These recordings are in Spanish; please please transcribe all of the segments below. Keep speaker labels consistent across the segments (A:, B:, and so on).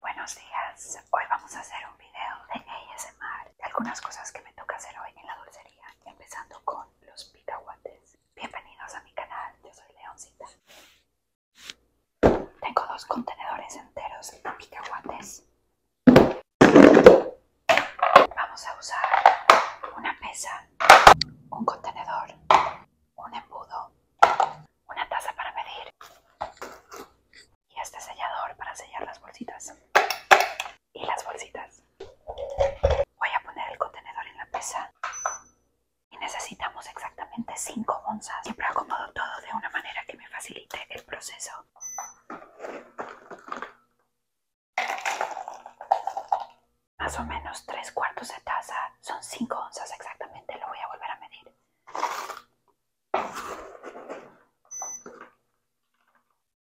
A: Buenos días, hoy vamos a hacer un video de ASMR y algunas cosas que me toca hacer hoy en la dulcería, empezando con los picahuates. Bienvenidos a mi canal, yo soy Leoncita. Tengo dos contenedores enteros de picahuates. Vamos a usar una mesa, un contenedor, un embudo, una taza para medir y este sellador para sellar las bolsitas y las bolsitas. Voy a poner el contenedor en la mesa y necesitamos exactamente 5 onzas. Siempre acomodo todo de una manera que me facilite el proceso. Más o menos 3 cuartos de taza son 5 onzas exactamente, lo voy a volver a medir.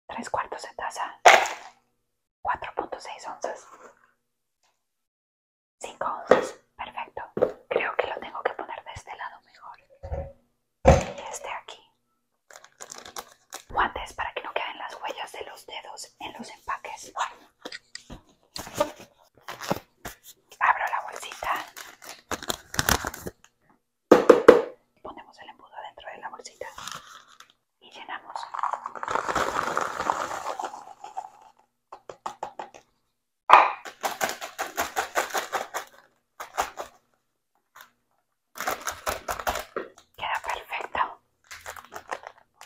A: Tres cuartos de taza, 4.6 onzas, 5 onzas, perfecto. Creo que lo tengo que poner de este lado mejor. Y este aquí. Guantes para que no queden las huellas de los dedos en los empaques. Abro la bolsita. Ponemos el embudo dentro de la bolsita y llenamos. Queda perfecto.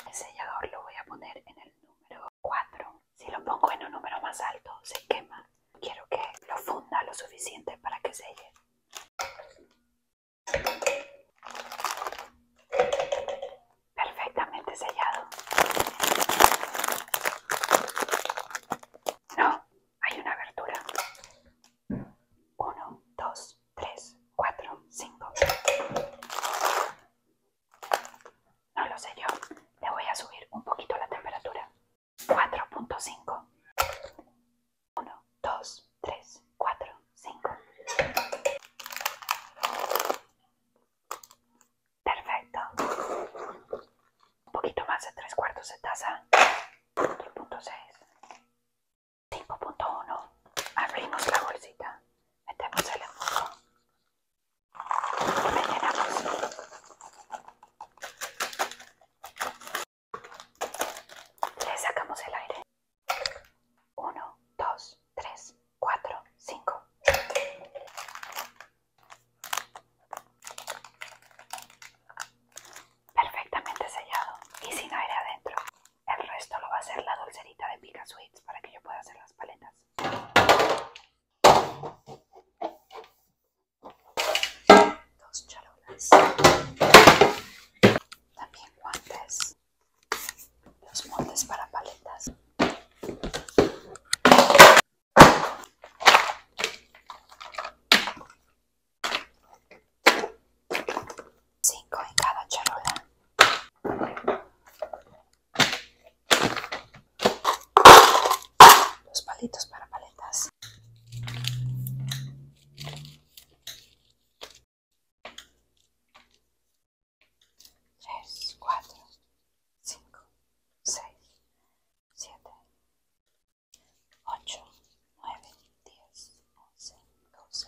A: El sellador lo voy a poner en el número 4. Si lo pongo en un número más alto, se quema. Quiero que lo funda lo suficiente para que selle. Perfectamente sellado. No, hay una abertura. Uno, dos, tres, cuatro, cinco. No lo sé yo. Le voy a subir un poquito la temperatura. 4.5. 1, 2, 3, 4, 5. Perfecto. Un poquito más de tres cuartos de taza. 4.6. 5.1. Abrimos la bolsita metemos el y le llenamos le sacamos el aire 1, 2, 3, 4, 5 perfectamente sellado y sin aire adentro el resto lo va a hacer la dulcerita de Pica Sweets para que yo pueda hacer las paletas. Dos charolas. También guantes. Los moldes para paletas. 5 en cada charola. Los palitos para paletas. Tres, cuatro, cinco, seis, siete, ocho, nueve, diez, once, doce,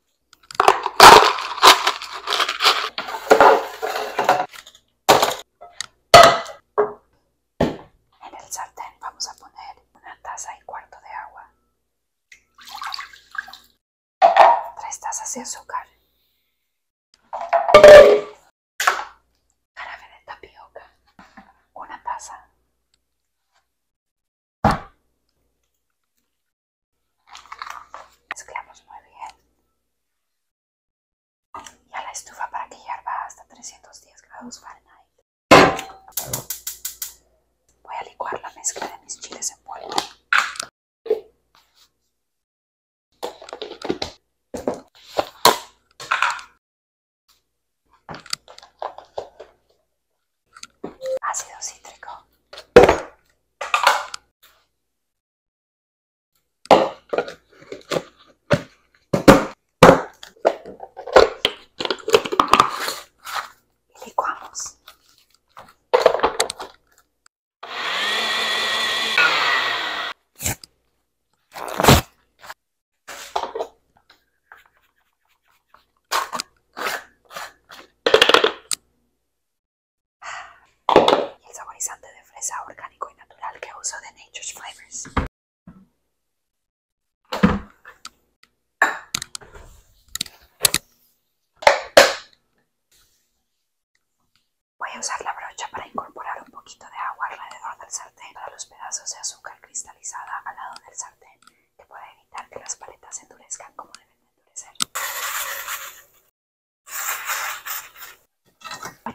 A: En el sartén vamos a poner una taza y cuarto de agua, tres tazas de azúcar, jarabe de tapioca, una taza, Mezclamos muy bien. Y a la estufa para que hierva hasta 310 grados Fahrenheit. Voy a licuar la mezcla de mis chiles en polvo ácido cítrico. Y el saborizante de fresa orgánico y natural que uso de Nature's Flavors Voy a usar la brocha para incorporar un poquito de agua alrededor del sartén para los pedazos de azúcar cristalizada al lado del sartén que pueda evitar que las paletas se endurezcan como deben de endurecer.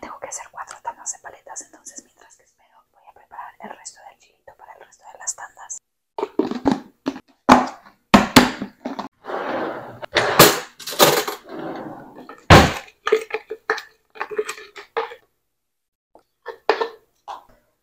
A: tengo que hacer cuatro tandas de paletas, entonces mientras que espero voy a preparar el resto del chilito para el resto de las tandas.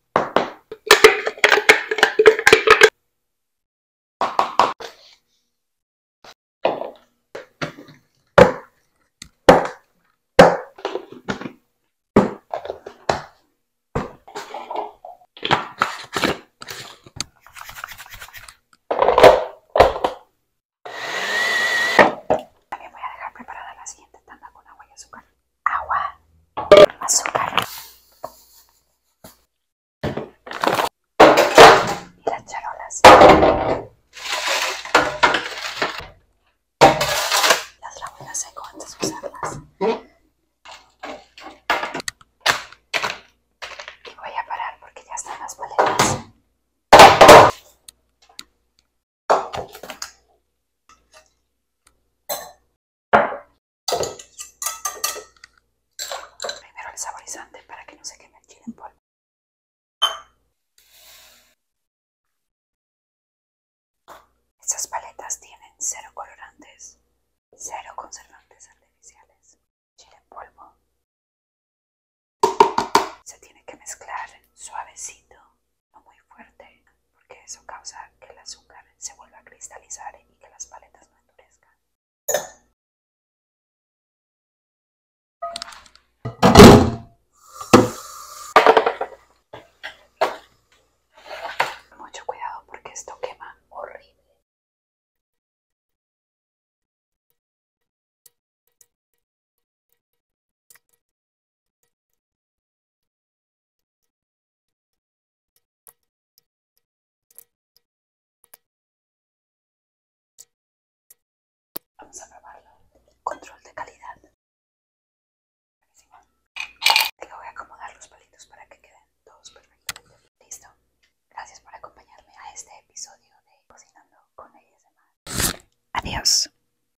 A: También voy a dejar preparada la siguiente tanda con agua y azúcar agua, azúcar y las charolas. Las lavo en la antes de usarlas. Y voy a parar porque ya están las paletas. Primero el saborizante para que no se queme el chile en polvo. Estas paletas tienen cero colorantes, cero conservantes artificiales, chile en polvo. Se tiene que mezclar suavecito no muy fuerte, porque eso causa que el azúcar se vuelva a cristalizar y que las paletas no endurezcan. Mucho cuidado porque esto quema horrible. Vamos a probarlo. Control de calidad. Buenísimo. Te voy a acomodar los palitos para que queden todos perfectamente. Listo. Gracias por acompañarme a este episodio de Cocinando con ellas. de Mar. Adiós.